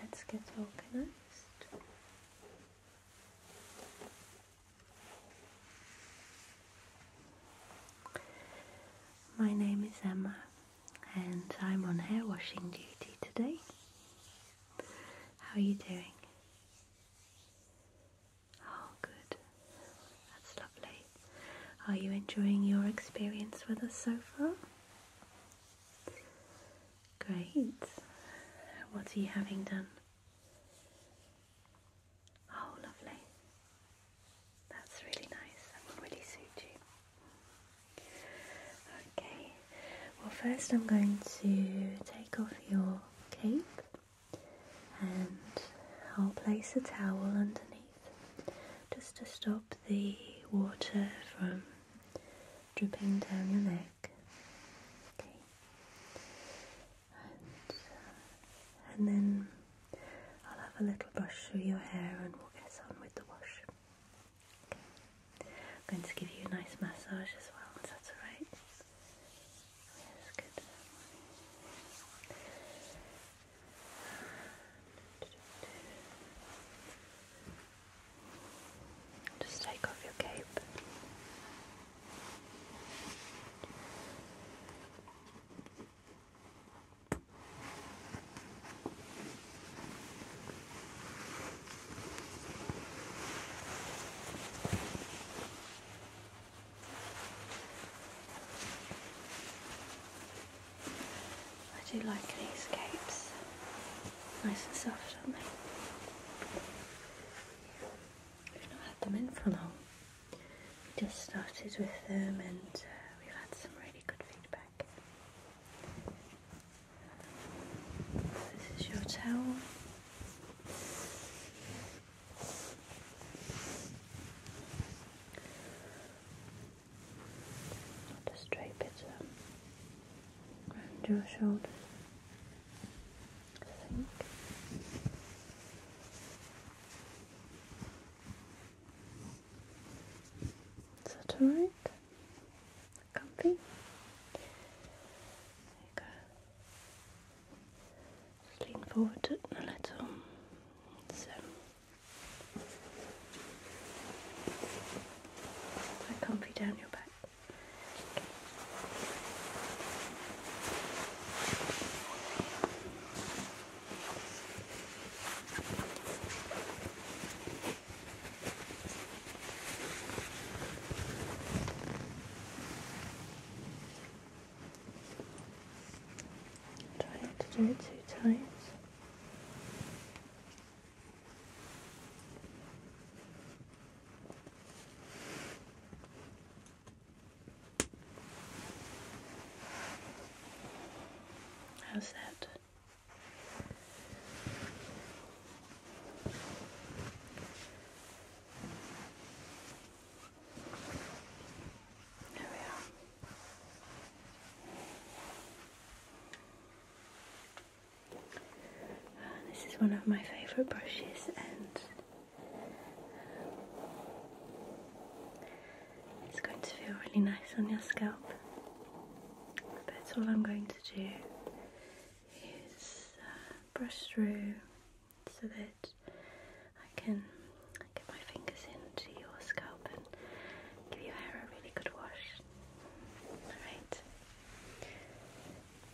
Okay, let's get organized. My name is Emma and I'm on hair washing duty today. How are you doing? Oh, good. That's lovely. Are you enjoying your experience with us so far? Great. What are you having done? Oh, lovely. That's really nice. That will really suit you. Okay, well, first I'm going to take off your cape and I'll place a towel underneath just to stop the water from dripping down your neck. Okay, and then I'll have a little brush through your hair and we'll get on with the wash. I'm going to give you a nice massage as well, that's alright. Yes, good. Just take off your cape. I do like these capes. Nice and soft, do not they? I've not had them in for long. We just started with them and uh, we've had some really good feedback. This is your towel. just drape it around your shoulders think. Is that alright? Comfy? There you go. Just lean forward a little. So so comfy down your back. Try to do it too tight. How's that? There we are. Ah, this is one of my favourite brushes and it's going to feel really nice on your scalp. That's all I'm going to do is uh, brush through so that I can get my fingers into your scalp and give your hair a really good wash. Alright.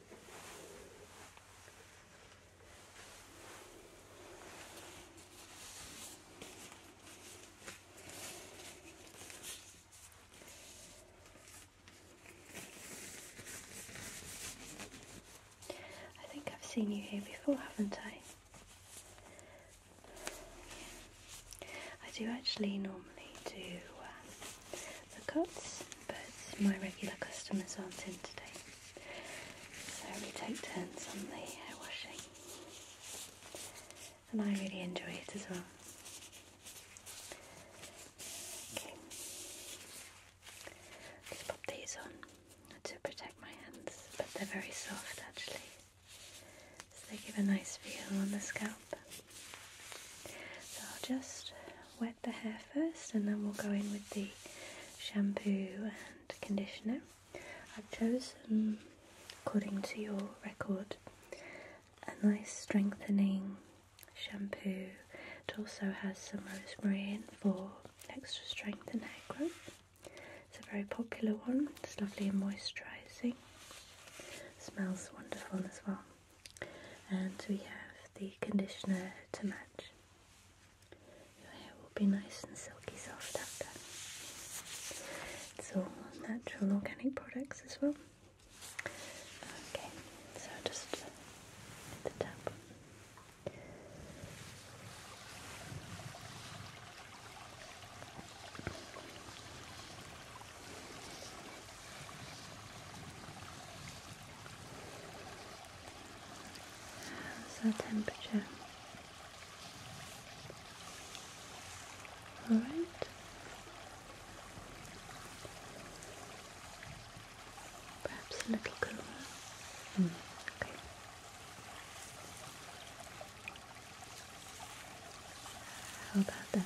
I think I've seen you here before, haven't I? I do actually normally do um, the cuts, but my regular customers aren't in today. So we take turns on the hair washing. And I really enjoy it as well. Okay. Just pop these on to protect my hands, but they're very soft actually. So they give a nice feel on the scalp. So I'll just wet the hair first and then we'll go in with the shampoo and conditioner. I've chosen, according to your record, a nice strengthening shampoo. It also has some rosemary in for extra strength and hair growth. It's a very popular one, it's lovely and moisturising. Smells wonderful as well and we have the conditioner to match. Your hair will be nice and silky soft after. It's all natural organic products as well. Okay, so just tap. How's our temperature? All right. Perhaps a little cooler. Hmm, okay. How about that?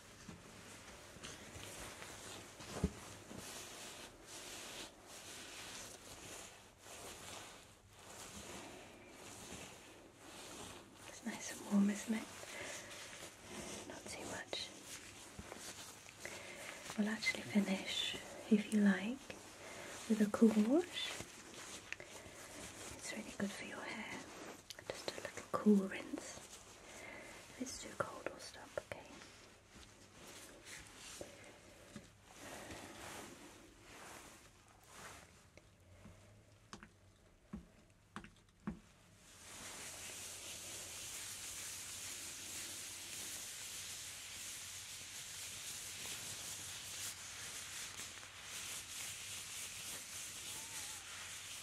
It's nice and warm, isn't it? Not too much. We'll actually finish, if you like, with a cool wash. It's really good for your hair. Just a little cool rinse. If it's too cold, we'll stop, Okay,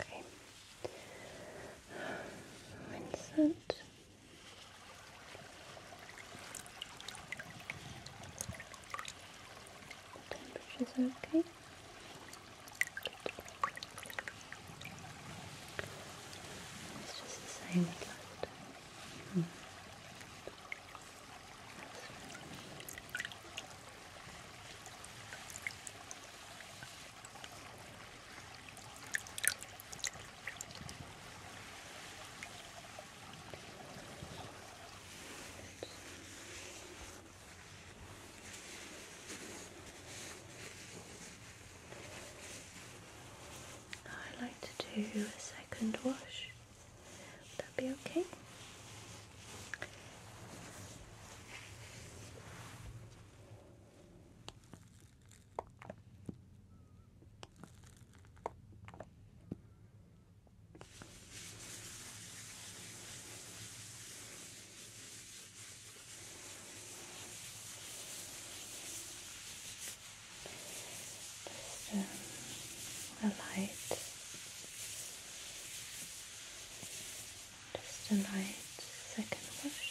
Okay. Vincent. Temperatures okay. It's just the same as last time. Hmm. Right. I like to do a second wash. Would that be okay? Just um, a light, just a light second wash.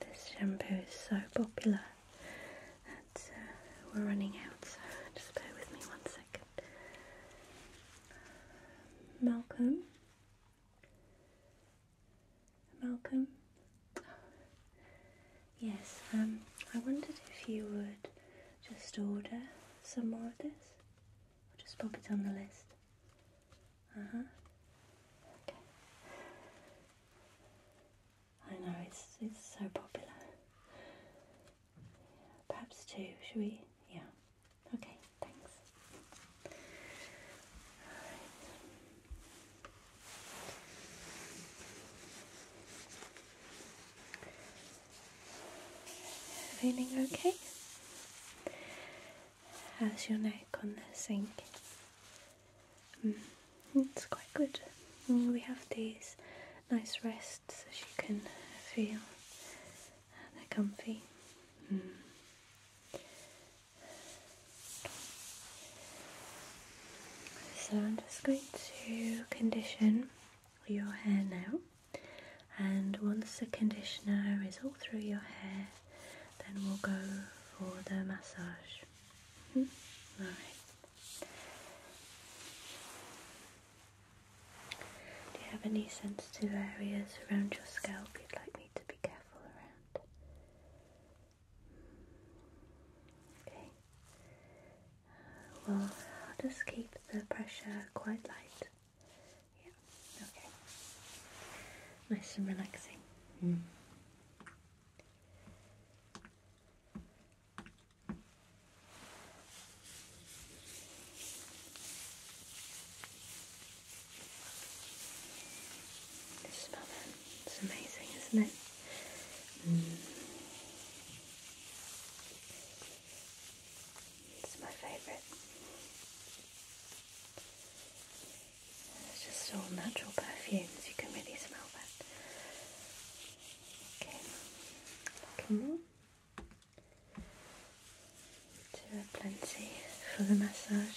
This shampoo is so popular that uh, we're running out, so just bear with me one second. Malcolm. Malcolm. Yes, um, I wondered if you would just order some more of this. I'll just pop it on the list. Uh huh. Okay. I know it's it's so popular. Perhaps two. Should we? Yeah. Okay. Thanks. Feeling okay? How's your neck on the sink? Mm, it's quite good. Mm, we have these nice rests as you can feel. They're comfy. Mm. So I'm just going to condition your hair now and once the conditioner is all through your hair, then we'll go for the massage. Mm Do you have any sensitive areas around your scalp you'd like me to be careful around? Okay. Well, I'll just keep the pressure quite light. Yeah, okay. Nice and relaxing. Mm. The smell then, it's amazing, isn't it? Mm. It's my favorite. It's just all natural perfumes. You can really smell that. Okay, a little more to a plenty for the massage.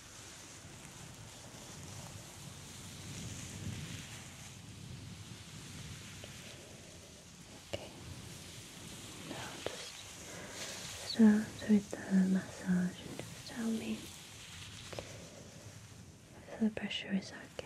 Okay. Now just start with the massage and just tell me if the pressure is okay.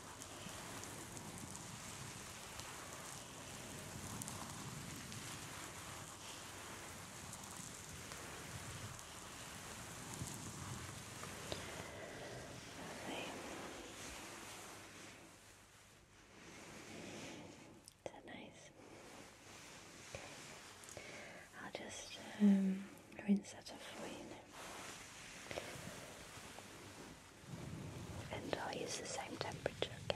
Okay. Is nice? I'll just um, rinse that off for you now. And I'll use the same temperature, Okay,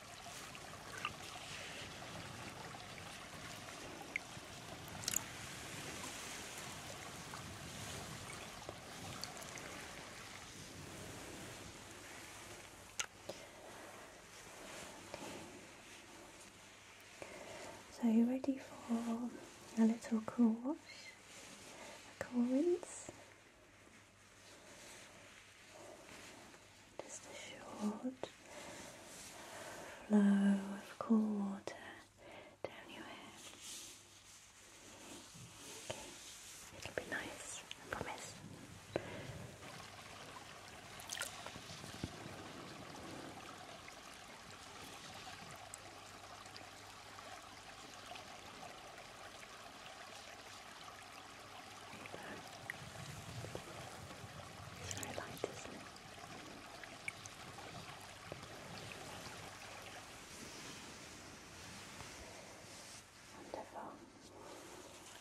So you're ready for a little cool wash, a cool rinse, just a short flow of cool water down your hair. it'll be nice, I promise. It's very light, isn't Wonderful.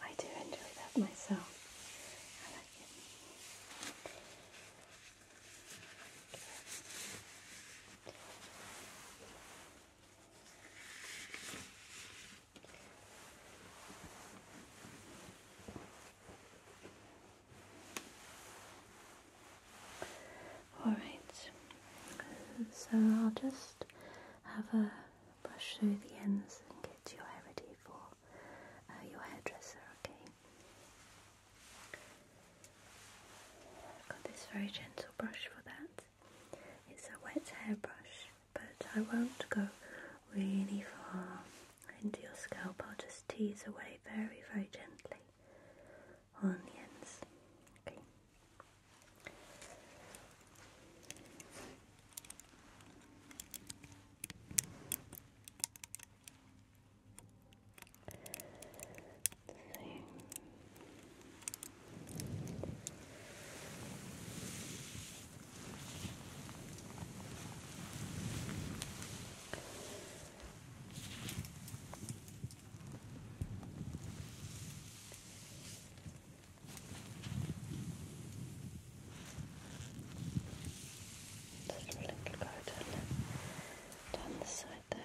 I do enjoy that myself. Alright, so I'll just have a brush through the ends and get your hair ready for uh, your hairdresser, okay? I've got this very gentle brush for that. It's a wet hairbrush, but I won't go really far into your scalp. I'll just tease away very, very gently on the ends. Okay. Just a little garden down the side there.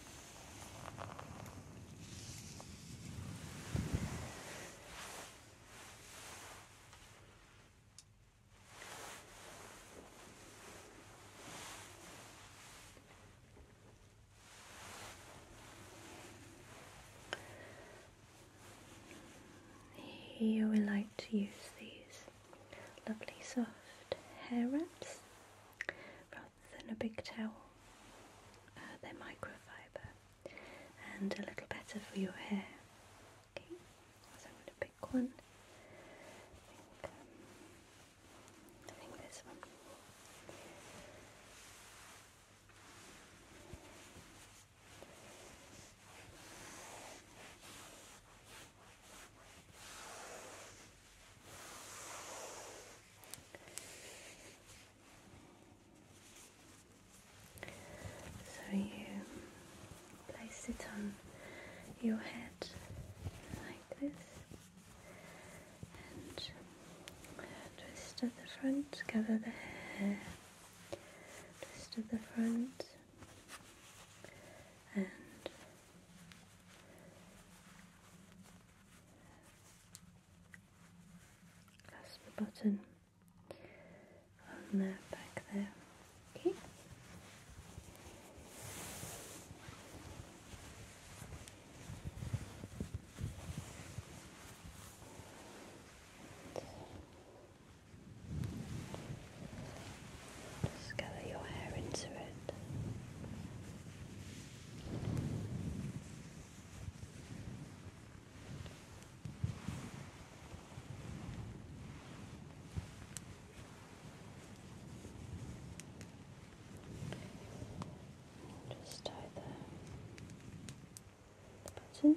Here we like to use these lovely soft hair wraps rather than a big towel. Uh, they're microfiber and a little better for your hair. Okay, so I'm going to pick one. I think, this one. So you place it on your head like this and twist at the front, gather the hair, twist at the front and that's the button on the back there. Okay. Just gather your hair into it. Just tie the button.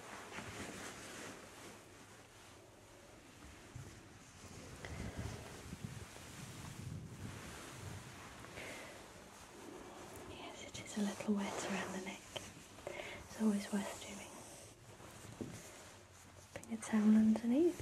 Yes, it is a little wet around the neck. It's always worth doing. Bring it towel underneath.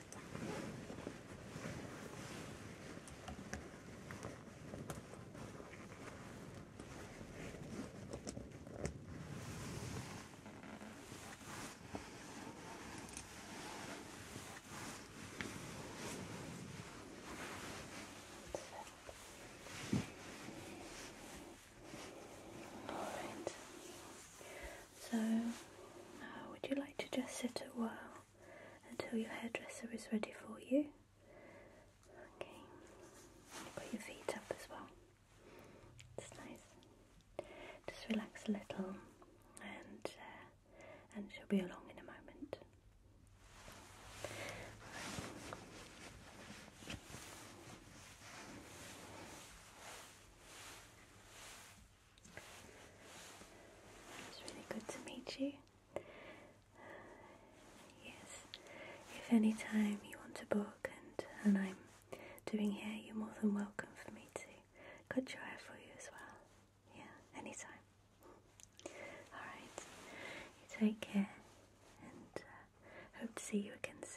All right. So, uh, would you like to just sit a while? until your hairdresser is ready for you. Okay, You've got your feet up as well. It's nice. Just relax a little, and uh, and she'll be along in a moment. It's really good to meet you. Yes, if any time you want to book and, and I'm doing here, you're more than welcome for me to cut your hair for you as well. Yeah, anytime. Alright, you take care and uh, hope to see you again soon.